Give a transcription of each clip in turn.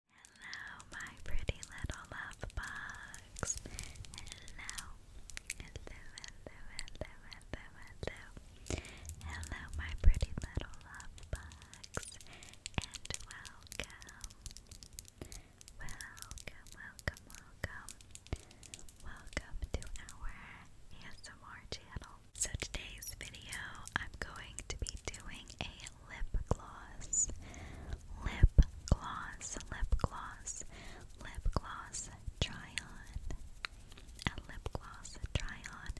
Hello, my pretty little love bugs. Hello. Hello, hello, hello, hello, hello. Hello, my pretty little love bugs. And welcome. Welcome, welcome, welcome. Welcome to our ASMR channel. So today's video, I'm going to be doing a lip gloss, lip gloss, lip gloss, lip gloss try on, a lip gloss try on,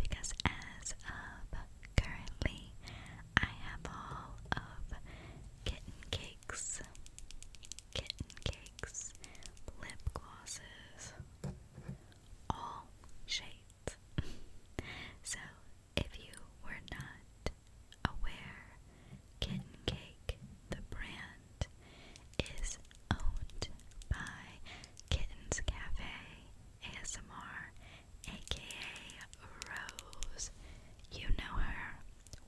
because as of currently, I have all of kitten cakes, kitten cakes, lip glosses, all shapes that. so, if you were not aware, Kitten Cake, the brand, is owned by Kittens Cafe ASMR, aka Rose. You know her.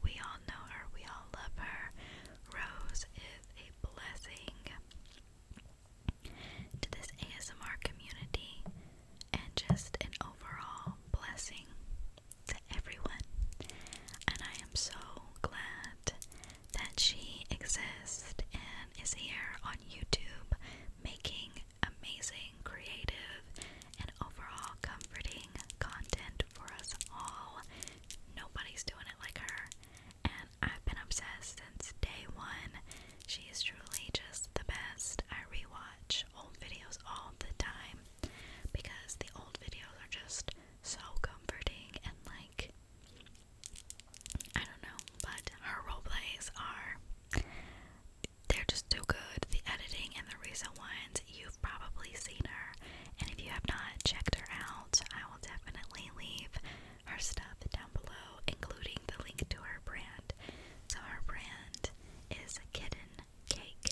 We all know her. We all love her. Rose is a blessing to this ASMR community and just an overall blessing to everyone. And I am so glad that she exists and is here on YouTube making amazing, creative, and overall comforting content for us all. Nobody's doing it like her. And I've been obsessed since day one. She is truly just the best. I rewatch watch old videos all the time because the old videos are just so comforting and like I don't know, but her role plays are they're just too good. The editing and the recent ones, you've probably seen her. And if you have not checked her out, I will definitely leave her stuff down below, including the link to her brand. So her brand is kitten cake.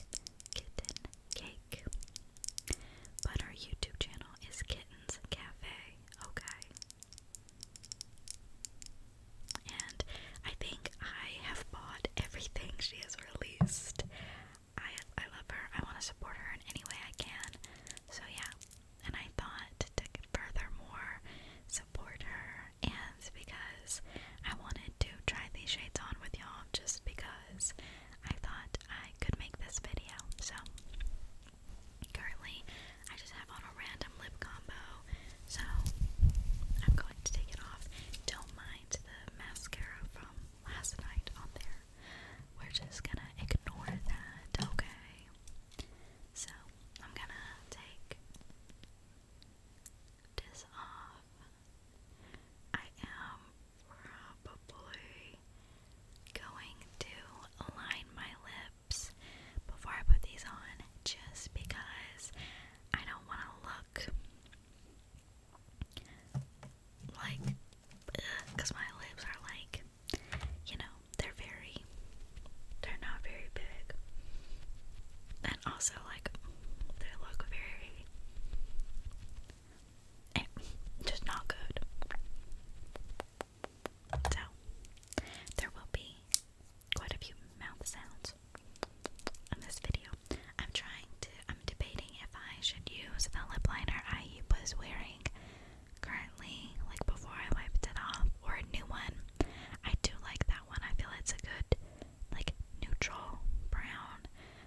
Kitten cake. But her YouTube channel is Kittens Cafe. Okay. And I think I have bought everything she has released. I I love her. I want to support her in any way I can. So yeah. And I thought to furthermore support her and because I wanted to try these shades on with y'all just because I thought I could make this video. So, currently, I just have on a random lip combo, so I'm going to take it off. Don't mind the mascara from last night on there. We're just gonna ignore that, okay? So, I'm gonna take this off. I am probably going to line my lips before I put these on just because I don't want to look like because my lips are like you know they're very they're not very big. And also, like, they look very. Eh, just not good. So, there will be quite a few mouth sounds in this video. I'm trying to, I'm debating if I should use the lip liner I was wearing currently, like before I wiped it off, or a new one. I do like that one, I feel it's a good like neutral brown,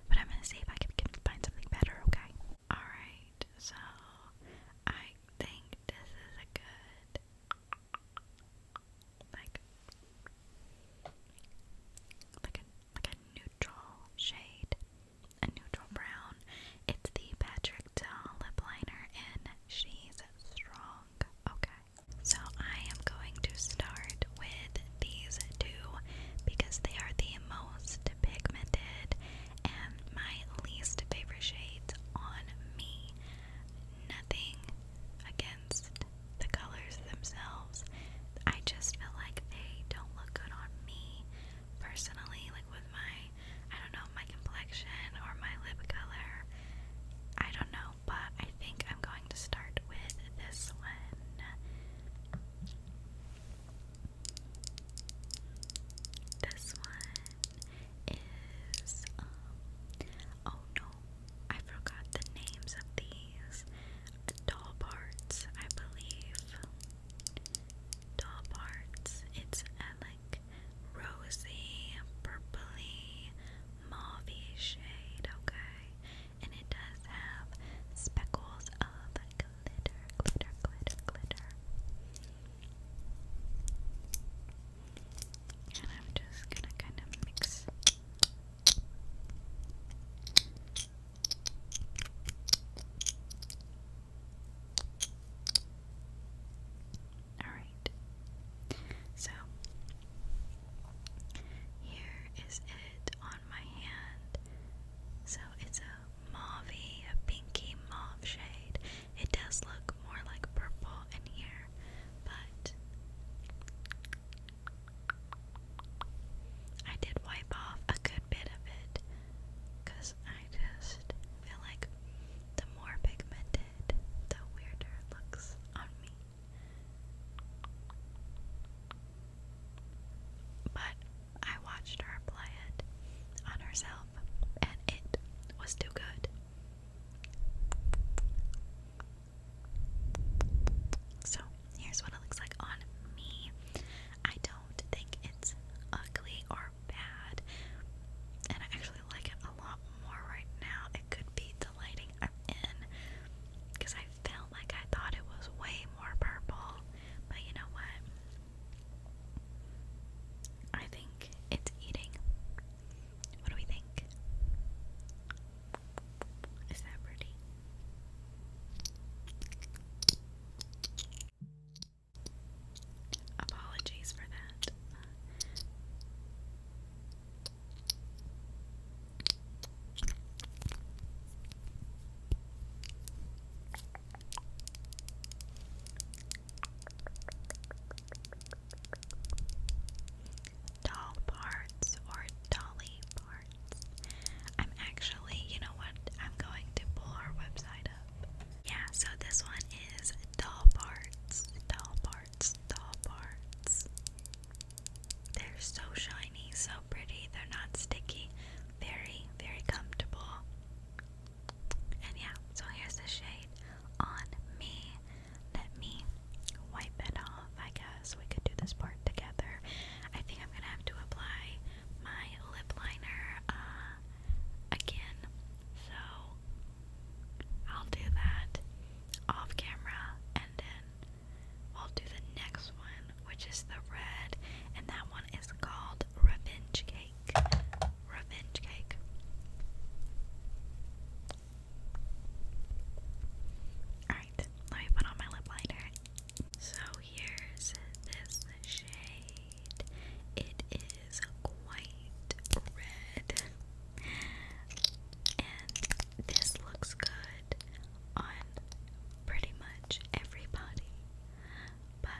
but I'm gonna see if I can, find something better, okay? Alright, so I think this is a good like like a like a neutral shade, a neutral brown. It's the Patrick Doll lip liner in She's Strong. Okay. So I am going to start with these two because they are the most pigmented and my least favorite shades on me. Nothing against the colors themselves. I just feel like they don't look good on me personally, like with my, I don't know, my complexion or my lip color. I don't know but I think I'm going to start with this one. This one is, um, oh no, I forgot the names of these. Doll I believe. Doll it's like rosy, purpley, mauvey shade, okay? And it does have speckles of glitter, glitter, glitter, glitter. And I'm just gonna kind of mix. Alright. So, here is it on my hand. So, it's a mauvey, a pinky mauve shade. It does look more like purple in here, but I did wipe off a good bit of it because I just feel like the more pigmented, the weirder it looks on me. But I watched her apply it on herself, and it was too good. So, here's what it looks like on me. I don't think it's ugly or bad, and I actually like it a lot more right now. It could be the lighting I'm in because I felt like I thought it was way more purple, but you know what? I think it's eating. What do we think? Is that pretty? Apologies for that. Doll parts or dolly parts. I'm actually, you know what? I'm going to pull our website up. Yeah, so this one is doll parts. Doll parts parts, parts. They're so shiny, so pretty. They're not sticky. Very, very comfortable. And yeah, so here's the shade on me. Let me wipe it off, I guess. We could do this part together. I think I'm gonna have to apply my lip liner uh, again. So I'll do that off camera and then I'll do the next one, which is the red, and that one is called Revenge Cake. Revenge Cake. Alright, let me put on my lip liner. So here's this shade. It is quite red. And this looks good on pretty much everybody, but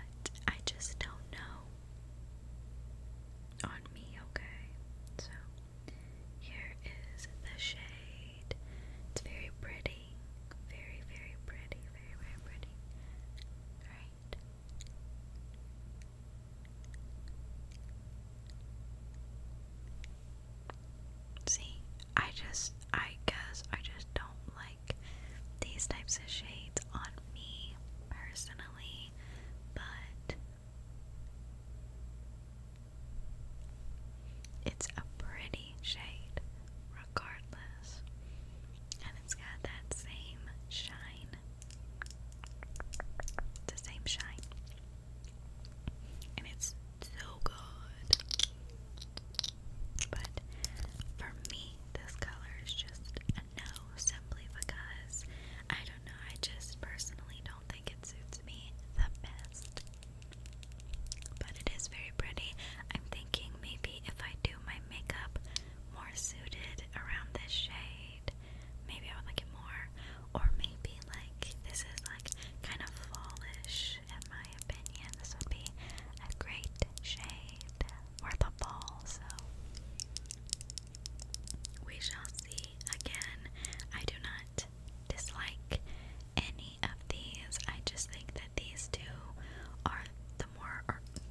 I just don't know on me, okay? So here is the shade. It's very pretty. Very, very pretty. Very, very pretty. Right? See, I just, I guess I just don't like these types of shades on me personally, but it's a pretty shade regardless, and it's got that same shine. the same shine and it's so good. But for me, this color is just no simply because I don't know, I just personally don't think it suits me the best. But it is very pretty. I'm thinking maybe if I do my makeup more suited around this shade. Maybe I would like it more. Or maybe like this is like kind of fallish in my opinion. This would be a great shade worth a fall, so we shall see. Again, I do not dislike any of these. I just think that these two are the more,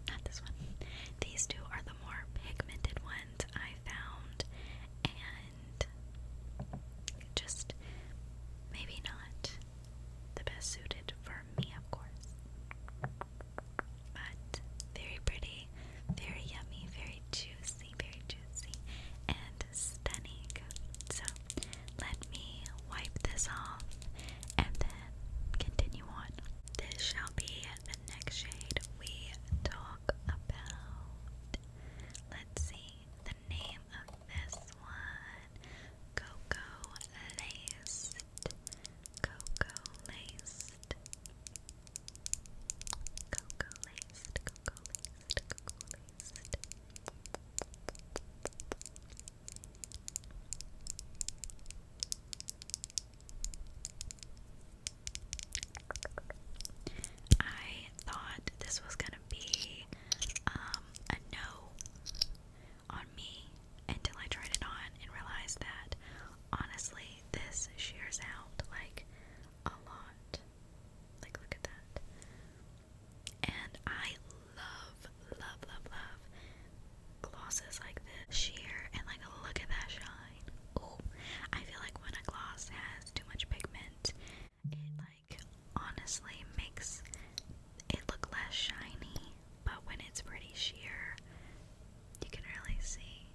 not this one, these two are the more pigmented ones I found, just maybe not the best suited for me, of course. But very pretty, very yummy, very juicy, very juicy, and stunning. So let me wipe this off and then continue on. This shall be the next shade we talk about. Let's see the name of this one. Cocoa Laced. Cocoa Laced. Cocoa Laced. Cocoa Laced. Cocoa Laced. I thought this was gonna be um, a no on me until I tried it on and realized that honestly, this shears out like a lot. Like, look at that. And I love, love, love, love glosses like this. Sheer and like, look at that shine. Oh, I feel like when a gloss has too much pigment, it like honestly makes it look less shiny, but when it's pretty sheer, you can really see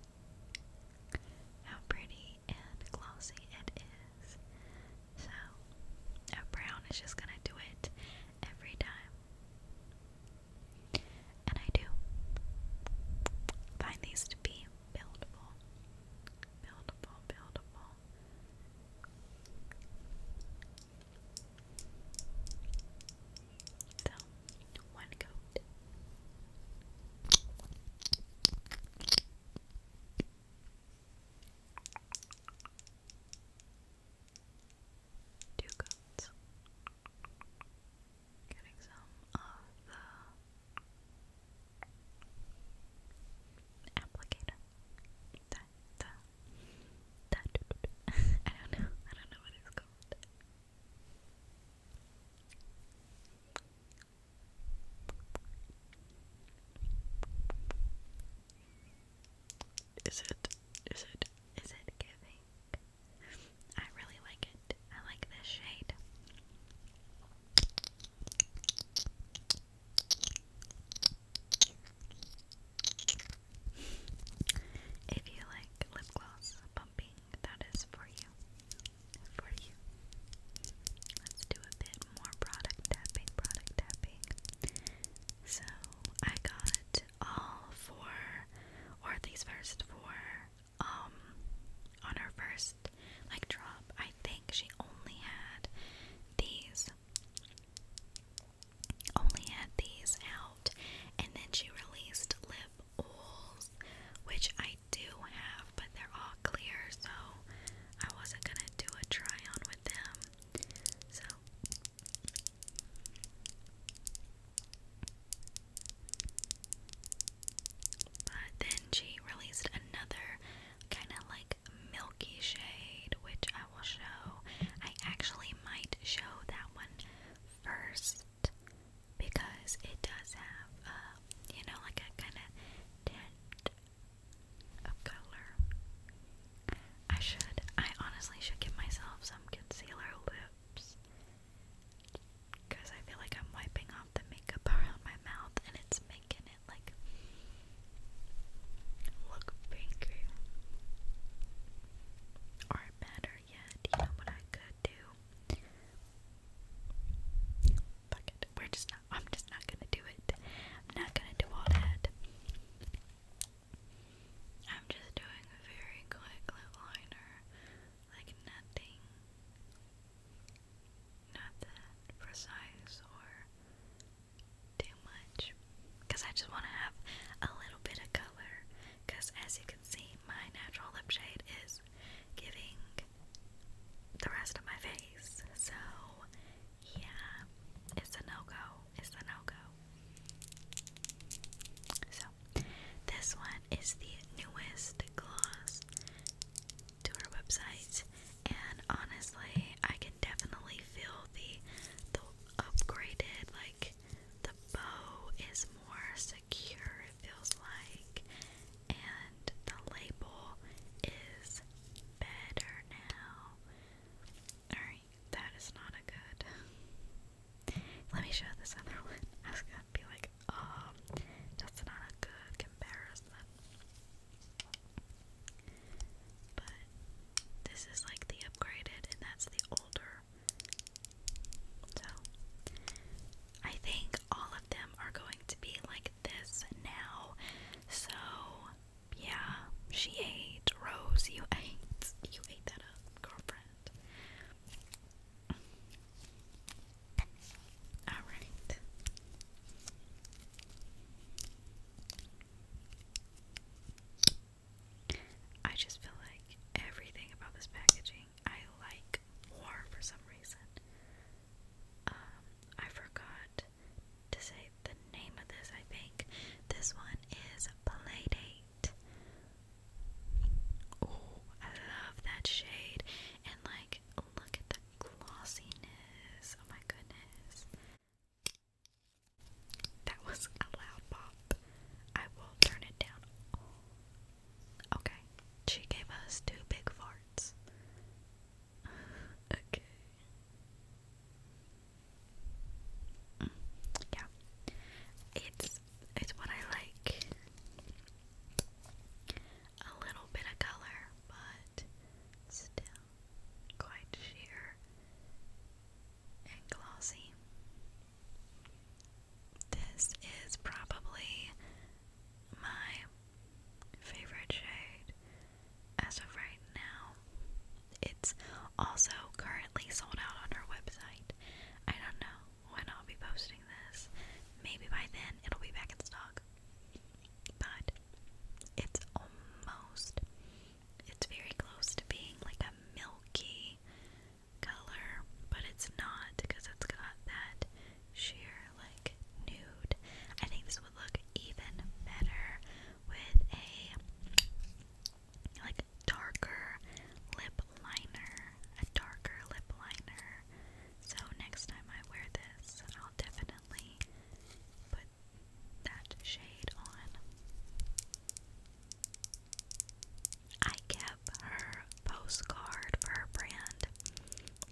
how pretty and glossy it is. So, a brown is just gonna do it every time. And I do find these to be buildable. Beautiful, beautiful. one coat. Two coats. Getting some of the applicator. That, the, that, I don't know. I don't know what it's called. Is it? Is it? Is it giving? I really like it. I like this shade. If you like lip gloss pumping, that is for you. For you. Let's do a bit more product tapping, product tapping. So I got all four, or these first four um on her first like drop I think she only had these only had these out and then she released lip oils which I do have but they're all clear so I wasn't gonna do a try on with them so but then she released another kind of like milky shade, which I will show. I actually might show that one first because it does have, uh, you know, like a kind of tint of color. I should, I honestly should give myself some concealer lips because I feel like I'm wiping off the makeup around my mouth and it's making it like look pinker. Or better yet, you know what I could do? Fuck it. We're just not I'm just not gonna do it. I'm not gonna do all that. I'm just doing a very quick lip liner, like nothing not that precise or too much because I just want to have a little bit of color because as you can see my natural lip shade is giving the rest of my face so yeah it's a no-go it's a no-go so this one is the newest gloss to her website, and honestly, I can definitely feel the the upgraded like the bow is more secure. It feels like, and the label is better now. Alright, that is not a good. Let me show this other one. I gonna be like, um that's not a good comparison. But this is like the upgraded and that's the older. So I think all of them are going to be like this now. So yeah, she ate. Rose, you ate. You ate that up, girlfriend. All right. I just feel like everything about this packaging I like more for some reason. Um, I forgot to say the name of this, I think. This one is Playdate. Oh, I love that shade. And look at the glossiness. Oh my goodness. That was a loud pop. I will turn it down. Okay. She gave us two big farts. okay. Mm, yeah. It's it's what I like a little bit of color, but still quite sheer and glossy. This is probably my favorite shade as of right now. It's also currently sold out on our website. I don't know when I'll be posting this. Maybe by then it'll be back in stock but it's almost, it's very close to being like a milky color, but it's not because it's got that sheer like nude. I think this would look even better with a like darker lip liner, a darker lip liner so next time I wear this, I'll definitely put that shade on. I kept her postcard for her brand.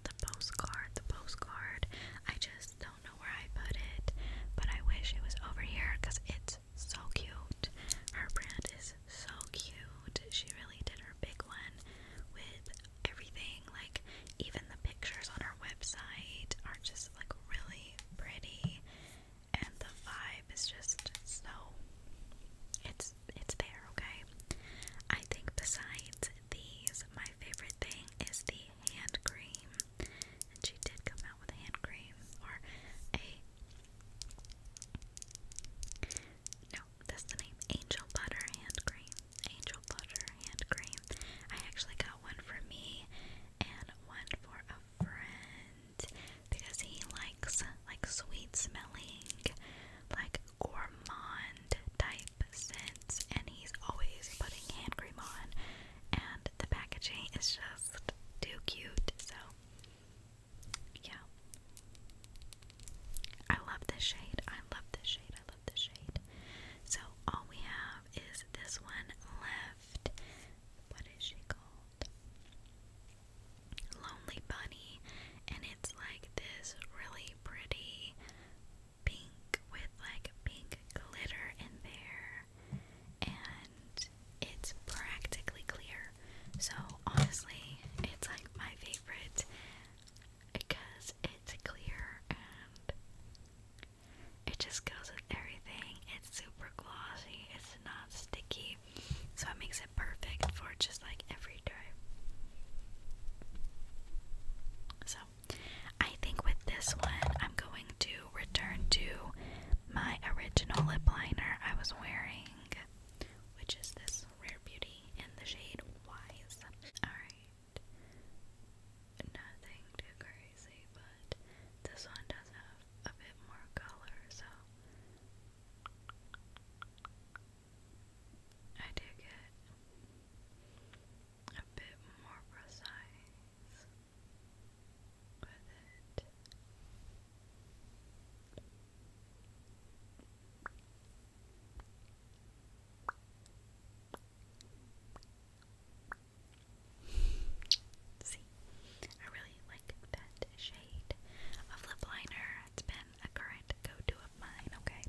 The postcard, the postcard. I just don't know where I put it, but I wish it was over here because it's so cute. Her brand is so cute. She really did her big one with everything. Like, even the pictures on our website are just like really pretty, and the vibe is just so it's it's there, okay? I think besides these, my favorite thing is the hand cream. And she did come out with a hand cream or a Angel. That's the name. Angel butter hand cream. Angel butter hand cream. I actually got one for me and one for a friend because he likes like sweet smelling, like gourmand type scents, and he's always putting hand cream on. And the packaging is just too cute. So yeah, I love this shade. I love this shade. I love the shade. So all we have is this one left. What is she called? Lonely Bunny. And it's like this really pretty pink with like pink glitter in there. And it's practically clear. So honestly, it's like my favorite because it's clear and it just goes with everything. It's super glossy, it's not sticky, so it makes it perfect for just like every day. So, I think with this one, I'm going to return to my original lip liner I was wearing, which is this Rare Beauty in the shade Wise. Alright, nothing too crazy, but this one does have a bit more color, so I do get a bit more precise with it. See, I really like that shade of lip liner. It's been a current go-to of mine, okay?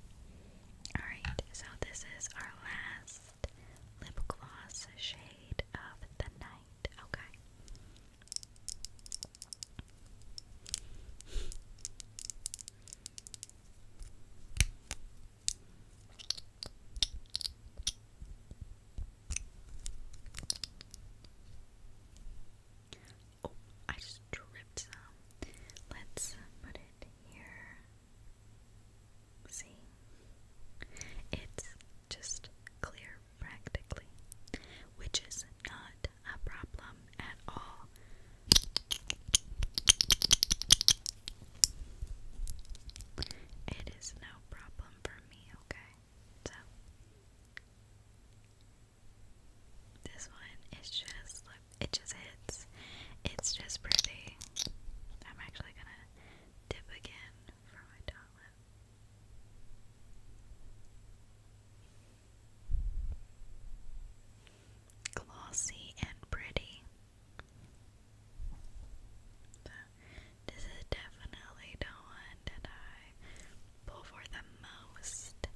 Alright, so this is our last lip gloss shade of the night, okay? Oh, I just dripped some. Let's put it here. See? It's just clear practically, which is not a problem at all. It is no problem for me, okay? this one is just, it just hits. It's just pretty. I'm actually gonna dip again for my top lip glossy and pretty. this is definitely the one that I pull for the most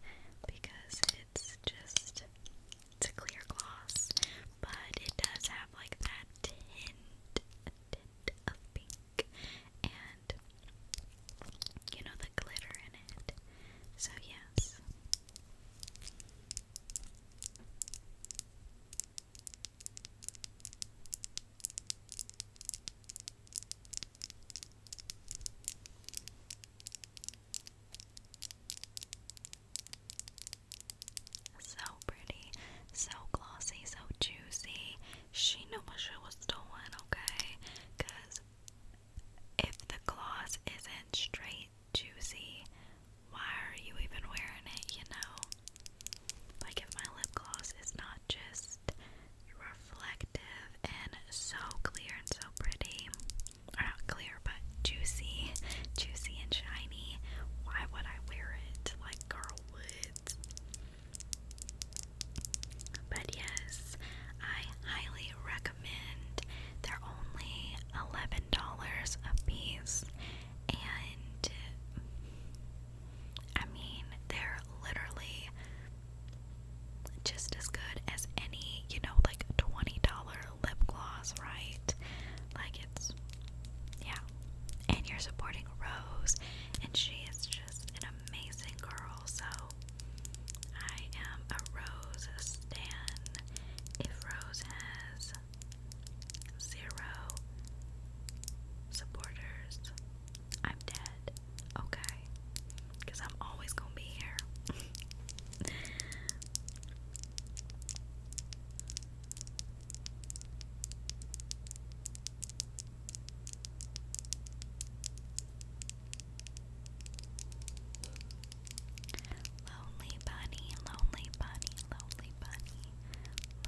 because it's just it's a clear gloss, but it does have like that tint of pink, and you know the glitter in it. So yes, so pretty, so glossy, so juicy. She knew what she was doing, okay? Because if the gloss isn't straight juicy. Why are you even wearing it, you know? Like, if my lip gloss is not just reflective and so clear and so pretty, or not clear, but juicy, juicy and shiny, why would I wear it? Like, girl would. But yes, I highly recommend. They're only $11 a piece, and I mean, they're literally just as good as any, you know, like $20 lip gloss, right? Like, it's, yeah. And you're supporting Rose, and she is just an amazing girl, so I am a Rose stan. If Rose zero supporters, I'm dead. Okay? Because I'm always going to be here. Lonely bunny, lonely bunny, lonely bunny,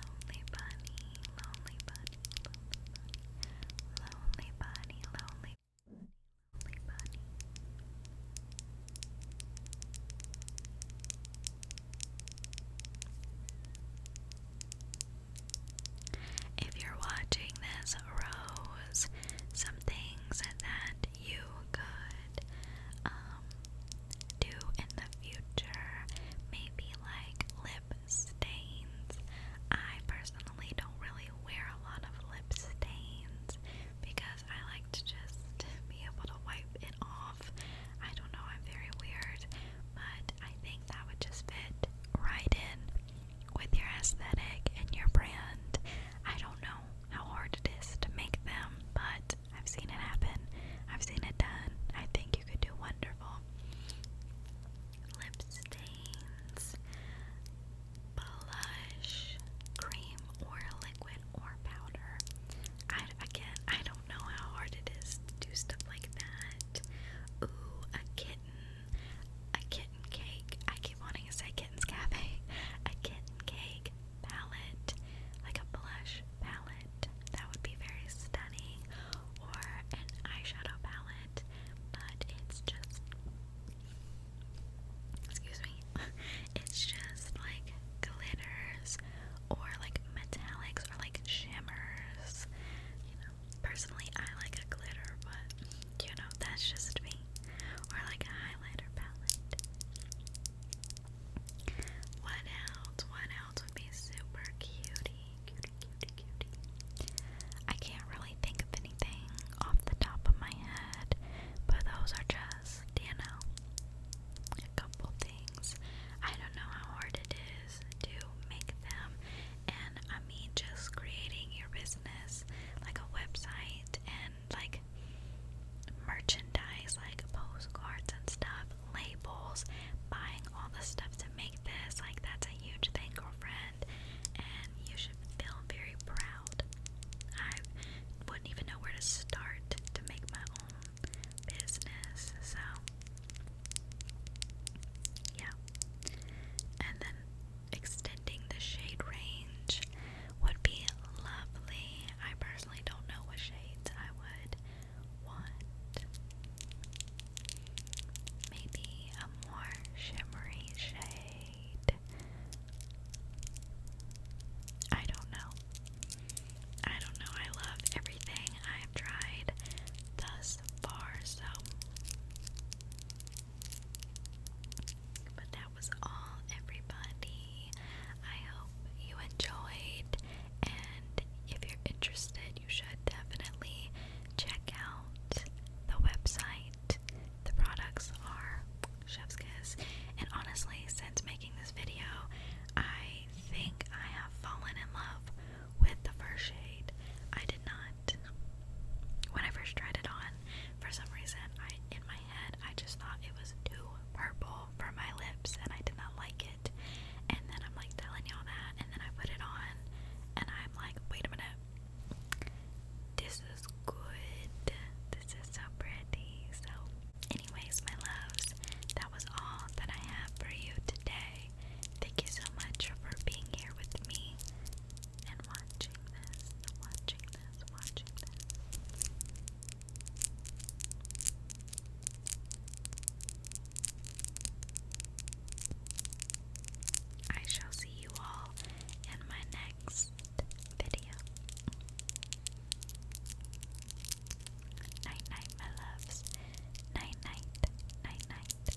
lonely bunny, lonely bunny, lonely bunny, lonely bunny, If you're watching this, Rose, some things that you could um do in the future. Maybe like lip stains. I personally don't really wear a lot of lip stains because I like to just be able to wipe it off. I don't know, I'm very weird, but I think that would just fit right in with your aesthetic and your brand. I don't know how hard it is to make them, but I've seen it happen. I've seen it done. I think you could do wonderful. Lip stains, blush, cream, or liquid or powder. I, again, I don't know how hard it is to do stuff like that. Ooh, a kitten, a kitten cake. I keep wanting to say kitten's cafe. A kitten cake, palette, like a blush palette, that would be very stunning, or an eyeshadow palette, but it's just, excuse me, it's just like glitters or like metallics or like shimmers. You know, personally, I like a glitter, but you know, that's just me, or like a highlighter palette. What else? What else would be super cutie? I can't really think of anything off the top of my head, but those are just, you know, a couple things. I don't know how hard it is to make them, and I mean, just creating your business like a website and like merchandise, like postcards and stuff, labels, buying all the stuff to make this. Like, that's a huge thing, girlfriend, and you should feel very proud. I wouldn't even know where to start to make my own business, so yeah. And then extending the shade range would be lovely. I personally I don't know what shades I would want. Maybe a more shimmery shade. I don't know. I don't know. I love everything I've tried thus far, so but that was all, everybody. I hope you enjoyed, and if you're interested, you should definitely check out the website. The products are chef's kiss. And honestly, since making this video, I think I have fallen in love with the first shade. I did not. When I first tried it on, for some reason, I in my I just thought it was too purple for my lips and I did not like it. And then I'm like telling y'all that and then I put it on and I'm like, wait a minute. This is good. This is so pretty. So anyways, my loves, that was all that I have for you today. Thank you so much for being here with me and watching this, watching this, watching this. I shall see you all in my next video. Night night, my loves. Night night, night night.